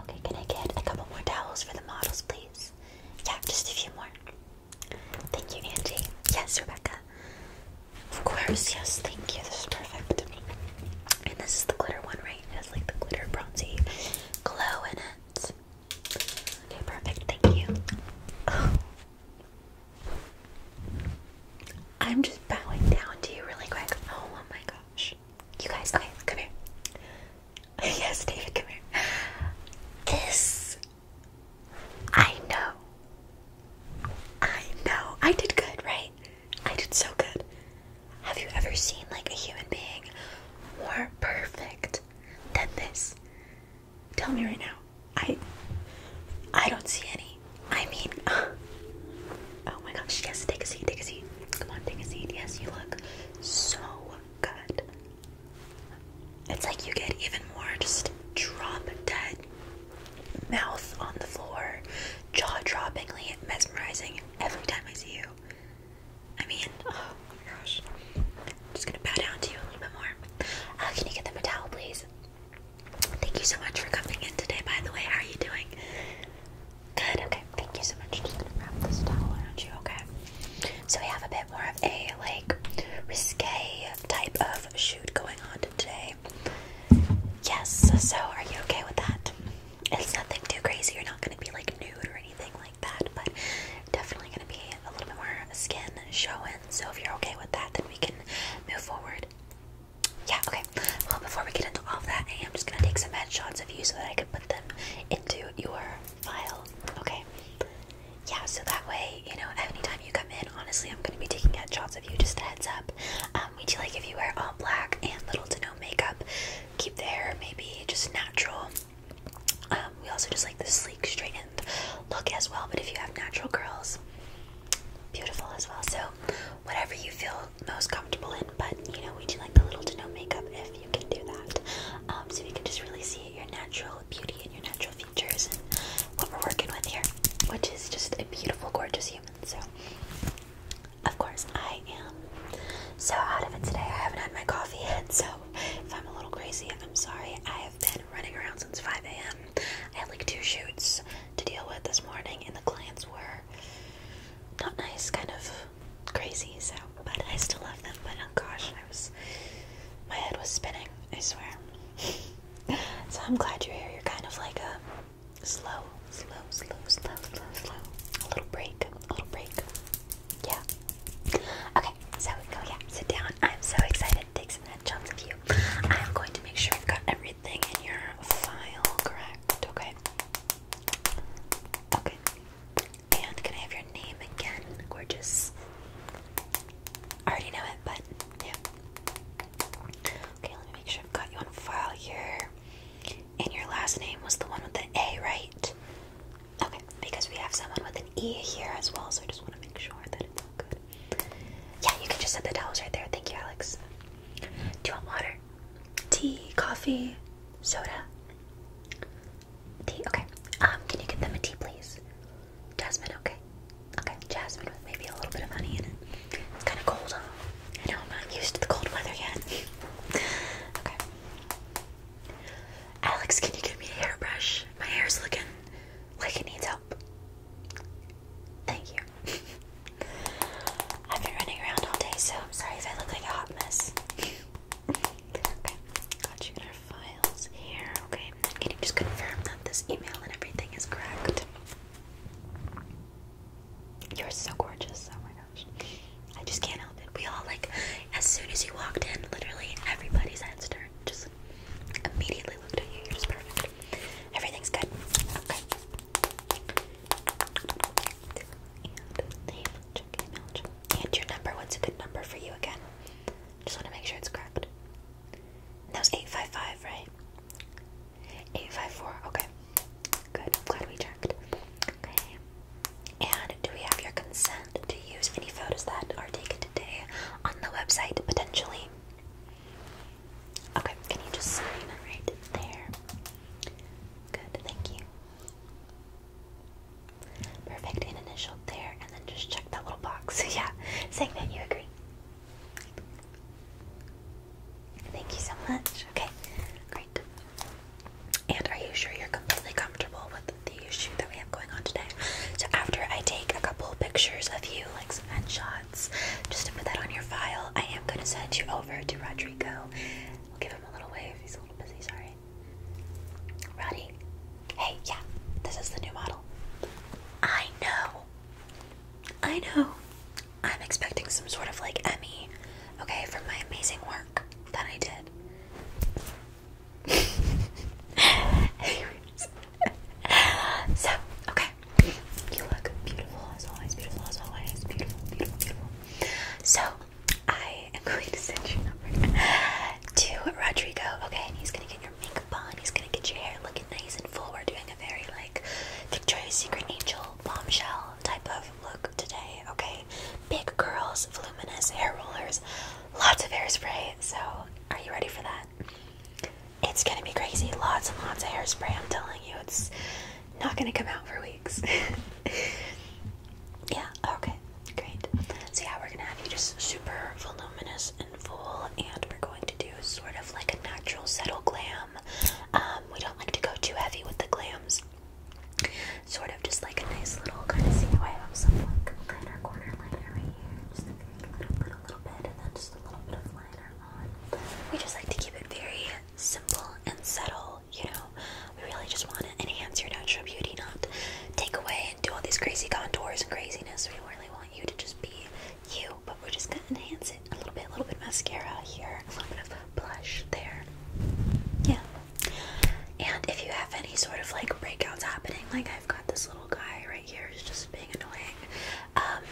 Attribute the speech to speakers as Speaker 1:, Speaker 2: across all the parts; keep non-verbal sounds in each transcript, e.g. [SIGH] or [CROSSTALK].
Speaker 1: Okay, can I get a couple more towels for the models, please? Yeah, just a few more. Thank you, Andy. Yes, Rebecca. Of course, yes, thank you. This is perfect. And this is the glitter one, right? It has like the glitter bronzy glow in it. Okay, perfect. Thank you. [SIGHS] I'm just bowing down to you really quick. oh my gosh. You guys, okay, come here. [LAUGHS] yes, David, come here. This. I know. I know. I did good, right? I did so good. Have you ever seen, like, a human being more perfect than this? Tell me right now. I. I don't see any. I mean. [LAUGHS] Oh my gosh, yes, take a seat, take a seat. Come on, take a seat. Yes, you look so good. It's like you get even more just drop dead mouth on the floor, jaw droppingly mesmerizing every time I see you. I mean, oh my gosh. I'm just gonna bow down to you a little bit more. Uh, can you get them a towel, please? Thank you so much for coming in today, by the way. How are you doing? Good, okay. Thank you so much. Just gonna wrap this towel around you, okay? So we have a bit more of a like risque type of shoot going on today. Yes, so are you okay with that? It's nothing too crazy, you're not gonna be like nude or anything like that, but definitely gonna be a little bit more skin showing. So if you're okay with that, then we can move forward. Yeah, okay. Well, before we get into all of that, I am just gonna take some headshots of you so that I can put them into your file. Okay. Yeah, so that way, you know, anytime you come in, honestly, I'm gonna be taking headshots of you. Just a heads up. Um, we do like if you wear all black and little to no makeup, keep the hair maybe just natural. Um, we also just like the sleek, straightened look as well. But if you have natural curls, beautiful as well. So, whatever you feel most comfortable in, but you know, we do like the little to no makeup if you can do that. Um, so you can just really see your natural beauty and your natural features and what we're working with here, which is just a beautiful, gorgeous human. So, of course, I am so out of it today. I haven't had my coffee yet, so if I'm a little crazy, I'm sorry. I have been running around since 5 a.m. I had like two shoots to deal with this morning, and the clients were not nice, kind of crazy, so but I still love them, but oh gosh, I was my head was spinning, I swear. [LAUGHS] so I'm glad you're here. You're kind of like a slow, slow, slow, slow, slow, slow. A little break. A little break. Yeah. Okay, so go yeah, sit down. I'm so excited to take some headshots of you. I am going to make sure I've got everything in your file correct, okay? Okay, and can I have your name again? Gorgeous. I already know it, but yeah. Okay, let me make sure I've got you on file here. And your last name was the one with the A, right? Okay, because we have someone with an E here as well, so I just want to make sure that it's all good. Yeah, you can just set the towels right there. Thank you, Alex. Do you want water? Tea, coffee, soda. Tea, okay. Um, can you get them a tea, please? Jasmine, okay. Okay, jasmine with maybe a little bit of honey in it. It's kind of cold. Huh? I know I'm not used to the cold weather yet. [LAUGHS] okay. Alex, can you give me a hairbrush? My hair's looking like it needs help. Thank you. [LAUGHS] I've been running around all day, so I'm sorry if I look like a hot mess. [LAUGHS] got you files here. Okay, can you just confirm that this email and everything is correct? You're so gorgeous. Oh my gosh. I just can't help it. We all, like, as soon as you walked in, literally everybody's heads turned. Just immediately looked at you. You're just perfect. Everything's good. Okay. And your number, what's a good number for you again? Just want to make sure it's correct. that was 855, right? 854, okay. Good, I'm glad we checked. Okay. And do we have your consent to use any photos that are taken today on the website, potentially? Okay, can you just sign right there? Good, thank you. Perfect, an initial there, and then just check that little box. [LAUGHS] yeah, saying that you agree. Thank you so much. Okay, great. And are you sure you're completely comfortable with the issue that we have going on today? So after I take a couple pictures of you, like some headshots, just to put that on your file, I am going to send you over to Rodrigo. I'll give him a little wave. He's a little busy, sorry. Ready? Hey, yeah, this is the new model. I know. I know. I'm expecting some sort of like Emmy, okay, from my amazing work that I did. [LAUGHS] so, okay. You look beautiful as always, beautiful as always, beautiful, beautiful, beautiful. So, I am going to send your number to Rodrigo, okay? And he's gonna get your makeup on, he's gonna get your hair looking nice and full. We're doing a very like Victoria's Secret Angel bombshell type of look today, okay? Big curls, voluminous hair rollers, lots of hairspray. So, are you ready for that? It's gonna be crazy. Lots and lots of hairspray, I'm telling you. It's not gonna come out for weeks. [LAUGHS] Yeah, okay, great. So, yeah, we're gonna have you just super voluminous and full, and we're going to do sort of like a natural, subtle glam. Um, we don't like to go too heavy with the glams. Sort of just like a nice little kind of see how I have some like liner corner liner right here. Just a very little, little, little bit, and then just a little bit of liner on. We just like to keep it very simple and subtle you know? We really just want to enhance your natural beauty, not take away and do all these crazy contours and craziness. We really want you to just be you, but we're just going to enhance it a little bit. A little bit of mascara here, a little bit of blush there. Yeah. And if you have any sort of like breakouts happening, like I've got this little guy right here who's just being annoying, um,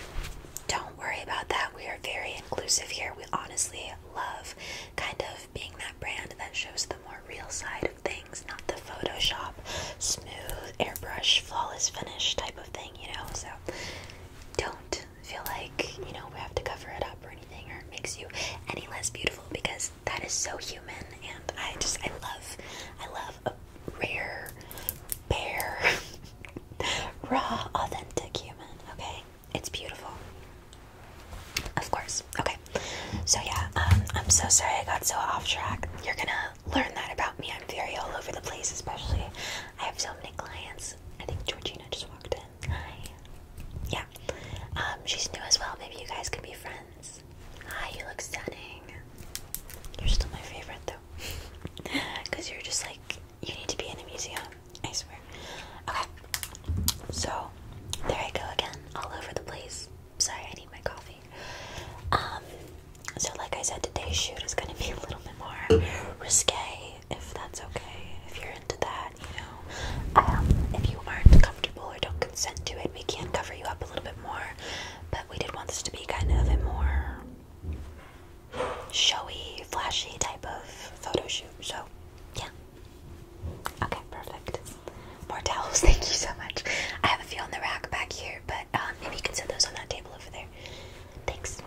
Speaker 1: don't worry about that. We are very inclusive here. We honestly love kind of being that brand that shows the more real side of things, not the Photoshop, smooth, airbrush, flawless finish type of thing, you know? So don't feel like, you know, we have to cover it up or anything or makes you any less beautiful because that is so human and I just, I love, I love a rare, bare, [LAUGHS] raw, authentic human, okay? It's beautiful. Of course. Okay. So yeah, um, I'm so sorry I got so off track. You're gonna learn that about me. I'm very all over the place, especially I have so many clients. I think Georgina just walked in. Hi. Yeah. Um, she's new as well. Maybe you guys can be friends. Hi, you look stunning. You're still my favorite though. [LAUGHS] Cause you're just like you need to be in a museum. I swear. Okay, so there I go again, all over the place. Sorry, I need my coffee. Um, so like I said, today's shoot is going to be a little bit more risque, if that's okay. If you're into that, you know, um, if you aren't comfortable or don't consent to it, we can cover you up a little bit more. But we did want this to be kind of a more showy, flashy type of photo shoot. So, yeah. Okay, perfect. More towels, [LAUGHS] thank you so much. I have a few on the rack back here, but um, maybe you can set those on that table over there. Thanks.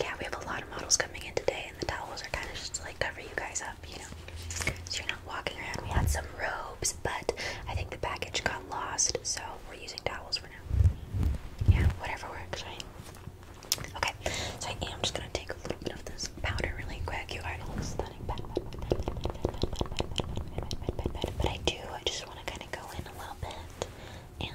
Speaker 1: Yeah, we have a lot of models coming in today, and the towels are kind of just to, like cover you guys up, you know, so you're not walking around. We had some robes, but I think the package got lost, so we're using towels for now. Yeah, whatever works, Okay, so I am just gonna take a little bit of this powder really quick. You are all stunning. But I do, I just want to kind of go in a little bit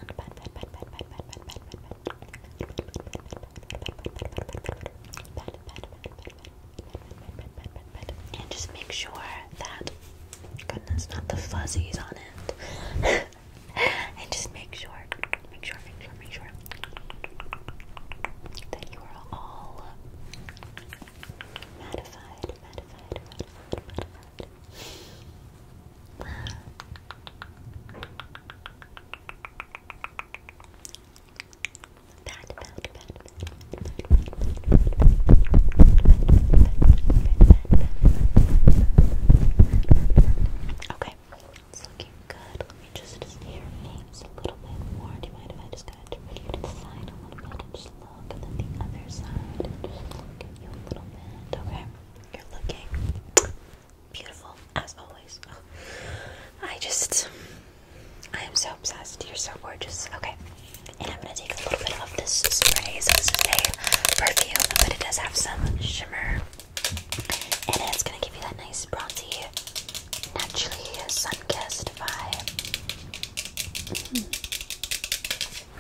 Speaker 1: and just make sure that goodness, not the fuzzies on it. and just make sure, make sure, make for that you are all matified, Okay, it's looking Good. Let me just see your names a little bit more. Do you mind if I just kind to the side a little bit and just look, and then the other side and just look at you a little bit? Okay. You're looking beautiful as always. I just, I am so obsessed. You're so gorgeous. Okay. And I'm gonna take a little bit of this spray. So this is a but it does have some shimmer. And it's gonna give you that nice bronzy naturally a sun-kissed vibe. Hmm.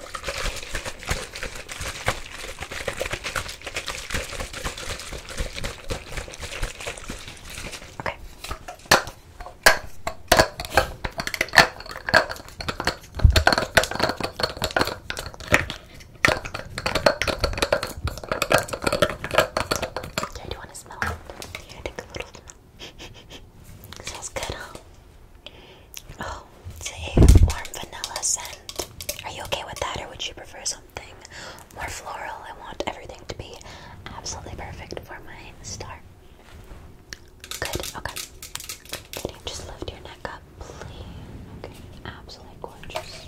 Speaker 1: Okay. Okay, smell take a little smell. [LAUGHS] Smells good, huh? Oh, it's a warm vanilla scent. Are you okay with that, or would you prefer something more floral? I want everything to be absolutely perfect for my star. Good, okay. Can you just lift your neck up, please? Okay, absolutely gorgeous.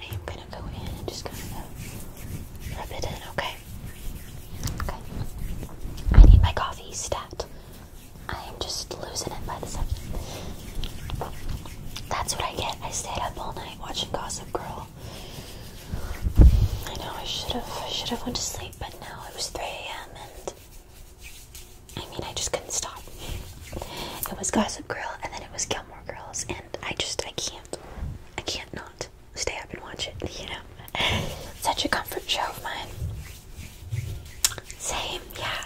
Speaker 1: I am gonna go in and just kind of rub it in, okay? Okay. I need my coffee stat. I am just losing it by the second. That's what I get. I stayed up all night watching Gossip Girl. I know I should have I should have went to sleep, but now it was 3 a.m. and I mean I just couldn't stop. It was Gossip Girl and then it was Gilmore Girls and I just I can't I can't not stay up and watch it, you know. Such a comfort show of mine. Same, yeah.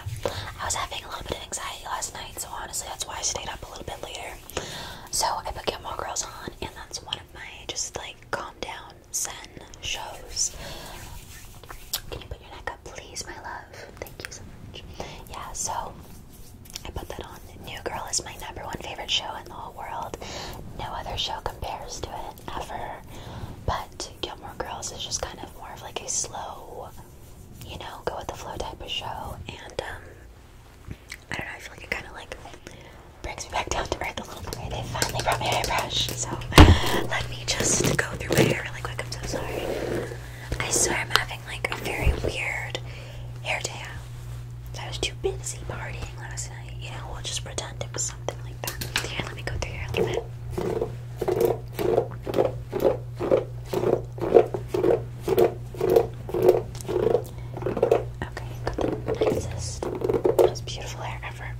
Speaker 1: I was having a little bit of anxiety last night, so honestly, that's why I stayed up a little bit later. So I put Gilmore Girls on, and that's one of my just like calm down, zen shows. Can you put your neck up, please, my love? Thank you so much. Yeah, so I put that on. New Girl is my number one favorite show in the whole world. No other show compares to it ever. But Gilmore Girls is just kind of more of like a slow, you know, go with the flow type of show. And um, I don't know, I feel like it kind of like brings me back down to earth a little bit. They finally brought my hairbrush, so let me just go through my hair really quick. I'm so sorry. I swear I'm having like a very weird hair day I was too busy partying last night. You know, we'll just pretend it was something like that. let me go through here Okay, most beautiful hair ever.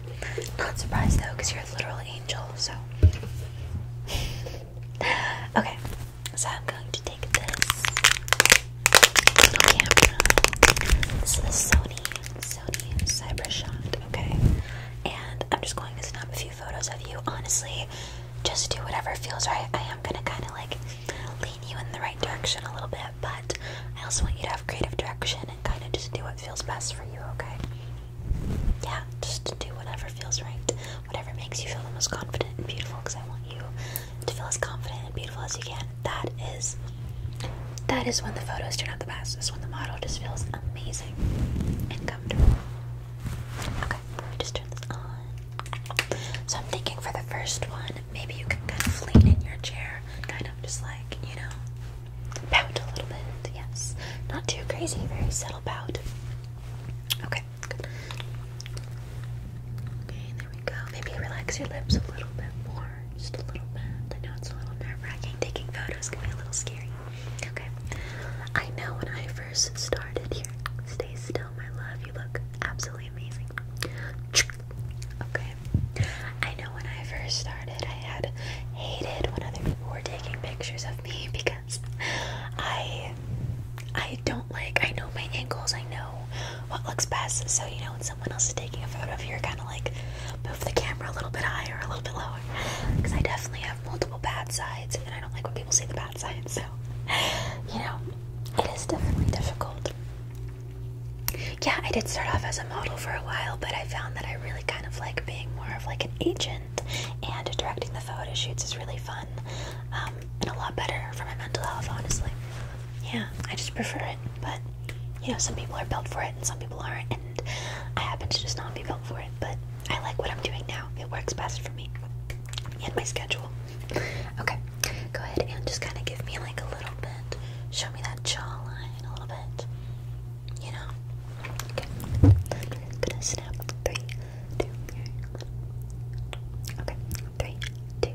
Speaker 1: Not surprised though, you're a literal angel, so. [LAUGHS] okay, so I'm going to take this camera. This is the Sony Sony Cybershot, okay? And I'm just going to snap a few photos of you. Honestly, just do whatever feels right. I am gonna kind of like lean you in the right direction a little bit, but I also want you to have creative direction and kind of just do what feels best for you, okay? Yeah, just do whatever feels right, whatever makes you feel the most confident and beautiful, because I want you to feel as confident and beautiful as you can. That is that is when the photos turn out the best. That's when the model just feels amazing and comfortable. Okay, just turn this on. So I'm thinking for the first one, maybe you can kind of lean in your chair, kind of just like you know, pout a little bit. Yes, not too crazy, very subtle pout. Okay, good. Okay, there we go. Maybe relax your lips a little bit more. Just a little bit. I know it's a little nerve wracking. Taking photos can be a little scary. Okay. I know when I first started here. Stay still, my love. You look absolutely amazing. Okay. I know when I first started, I had hated when other people were taking pictures of me because I I don't like. I know my angles. I know what looks best. So you know when someone else is taking a photo of you, you're kind of like move the camera a little bit higher, a little bit lower. Because I definitely have multiple bad sides, and I don't like when people see the bad side. So you know, it is definitely difficult. Yeah, I did start off as a model for a while, but I found that I really kind of like being more of like an agent, and directing the photo shoots is really fun um, and a lot better for my mental health, honestly yeah, I just prefer it. But you know, some people are built for it and some people aren't, and I happen to just not be built for it. But I like what I'm doing now. It works best for me and my schedule. Okay, go ahead and just kind of give me like a little bit. Show me that jawline a little bit. You know. Okay. gonna snap. Three, two, okay. Three, two,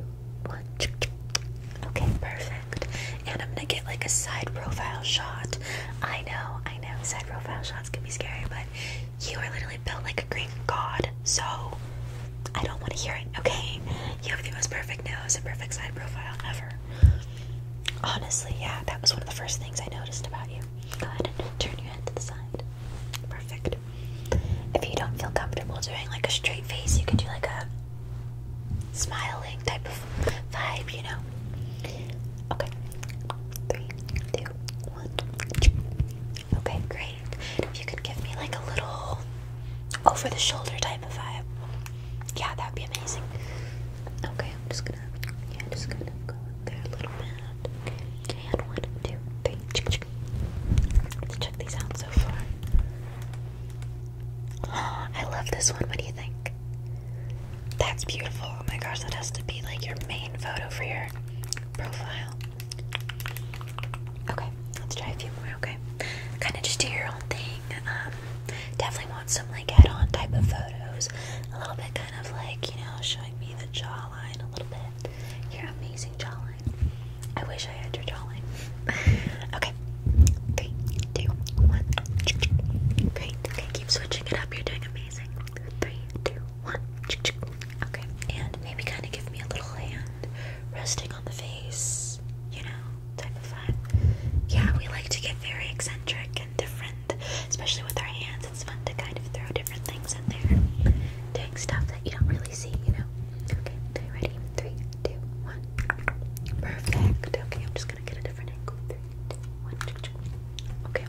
Speaker 1: Okay, perfect. And I'm gonna get like a side profile shot. I know, I know, side profile shots can be scary, but you are literally built like a Greek god, so I don't want to hear it, okay? You have the most perfect nose and perfect side profile ever. Honestly, yeah, that was one of the first things I noticed about you. Go ahead and turn your head to the side. Perfect. If you don't feel comfortable doing like a straight face, you can do like a smiling type of vibe, you know? Okay. Three, two, one. Okay, great. If you could give me like a little over the shoulder type of vibe. Yeah, that would be amazing. Okay, I'm just gonna yeah, just gonna go there a little bit. one, two, three. Let's check these out so far. [GASPS] I love this one. What do you think? That's beautiful. Oh my gosh, that has to be like your main photo for your profile. Okay, let's try a few more, okay? Kind of just do your own thing. Um, definitely want some like add on type of photos. A little bit kind of like, you know, showing me the jawline a little bit. You're amazing jawline. I wish I had your jawline. [LAUGHS] okay. Three, two, one. Okay, keep switching it up. You're doing amazing. Three, two, one. Okay. And maybe kind of give me a little hand resting on the face, you know, type of fun. Yeah, we like to get very eccentric and different, especially with our hands. It's fun to kind of throw different things in there, doing stuff that you don't really see, you know. Okay, okay, ready? three, two, one. Perfect. Okay, I'm just gonna get a different angle. Three, two, one. Okay.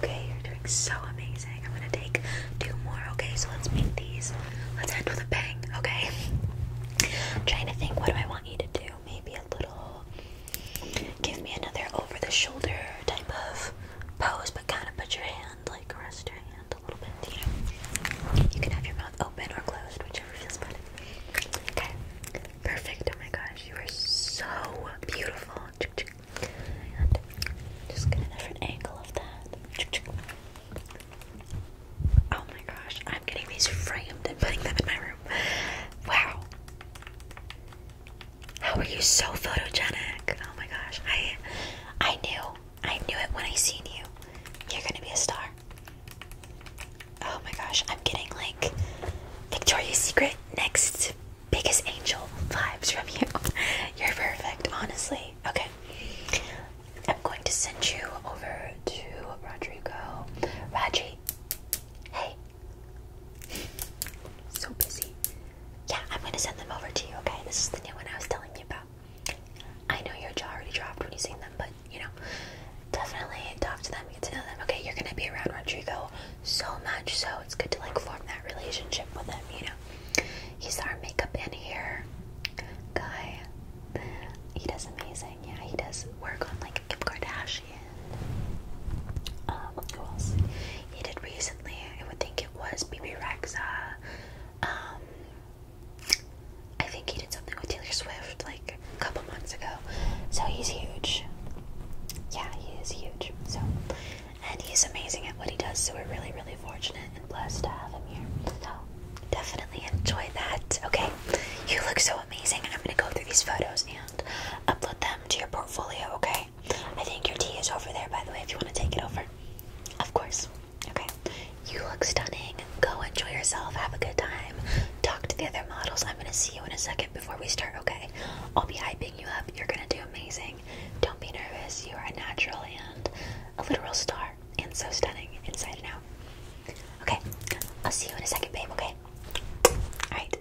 Speaker 1: Okay, you're doing so amazing. I'm gonna take two more. Okay, so let's make these. Let's end with a bang. Okay. trying to think. What do I want you to do? Maybe a little. Give me another over-the-shoulder type of pose, but kind of put your hand like rest your hand a little bit You can have your mouth open or closed, whichever feels better. Okay, perfect. Oh my gosh, you are so beautiful. just get a different angle of that. Oh my gosh, I'm getting these framed and putting them in my room. Wow. How are you so photogenic? Oh my gosh. I I knew. I knew it when I seen you. You're gonna be a star. Oh my gosh, I'm getting like Victoria's Secret next biggest angel vibes from you. [LAUGHS] You're perfect, honestly. Okay. I'm going to send you over to Rodrigo. Raji. Hey. [LAUGHS] So busy. Yeah, I'm gonna send them over to you, okay? This is the new one I was telling you about. I know your jaw already dropped when you seen them, but you know, definitely talk to them, get to know them. Okay, you're gonna be around Rodrigo so much, so it's good to like form that relationship with him, you know. He's our makeup and hair guy. He does amazing, yeah, he does work on like Kim Kardashian. Um, who else? He did recently, I would think was BB Rexa. Um, I think he did something with Taylor Swift like a couple months ago. So he's huge. Yeah, he is huge. So, and he's amazing at what he does. So we're really, really fortunate and blessed to have him here. So definitely enjoy that. Okay, you look so amazing. I'm gonna go through these photos and upload them to your portfolio. Okay. I think your tea is over there, by the way, if you want to take it over. Of course. Okay. You look stunning. Go enjoy yourself. Have a good time. Talk to the other models. I'm going to see you in a second before we start, okay? I'll be hyping you up. You're going to do amazing. Don't be nervous. You are a natural and a literal star. And so stunning inside and out. Okay. I'll see you in a second, babe, okay? Alright.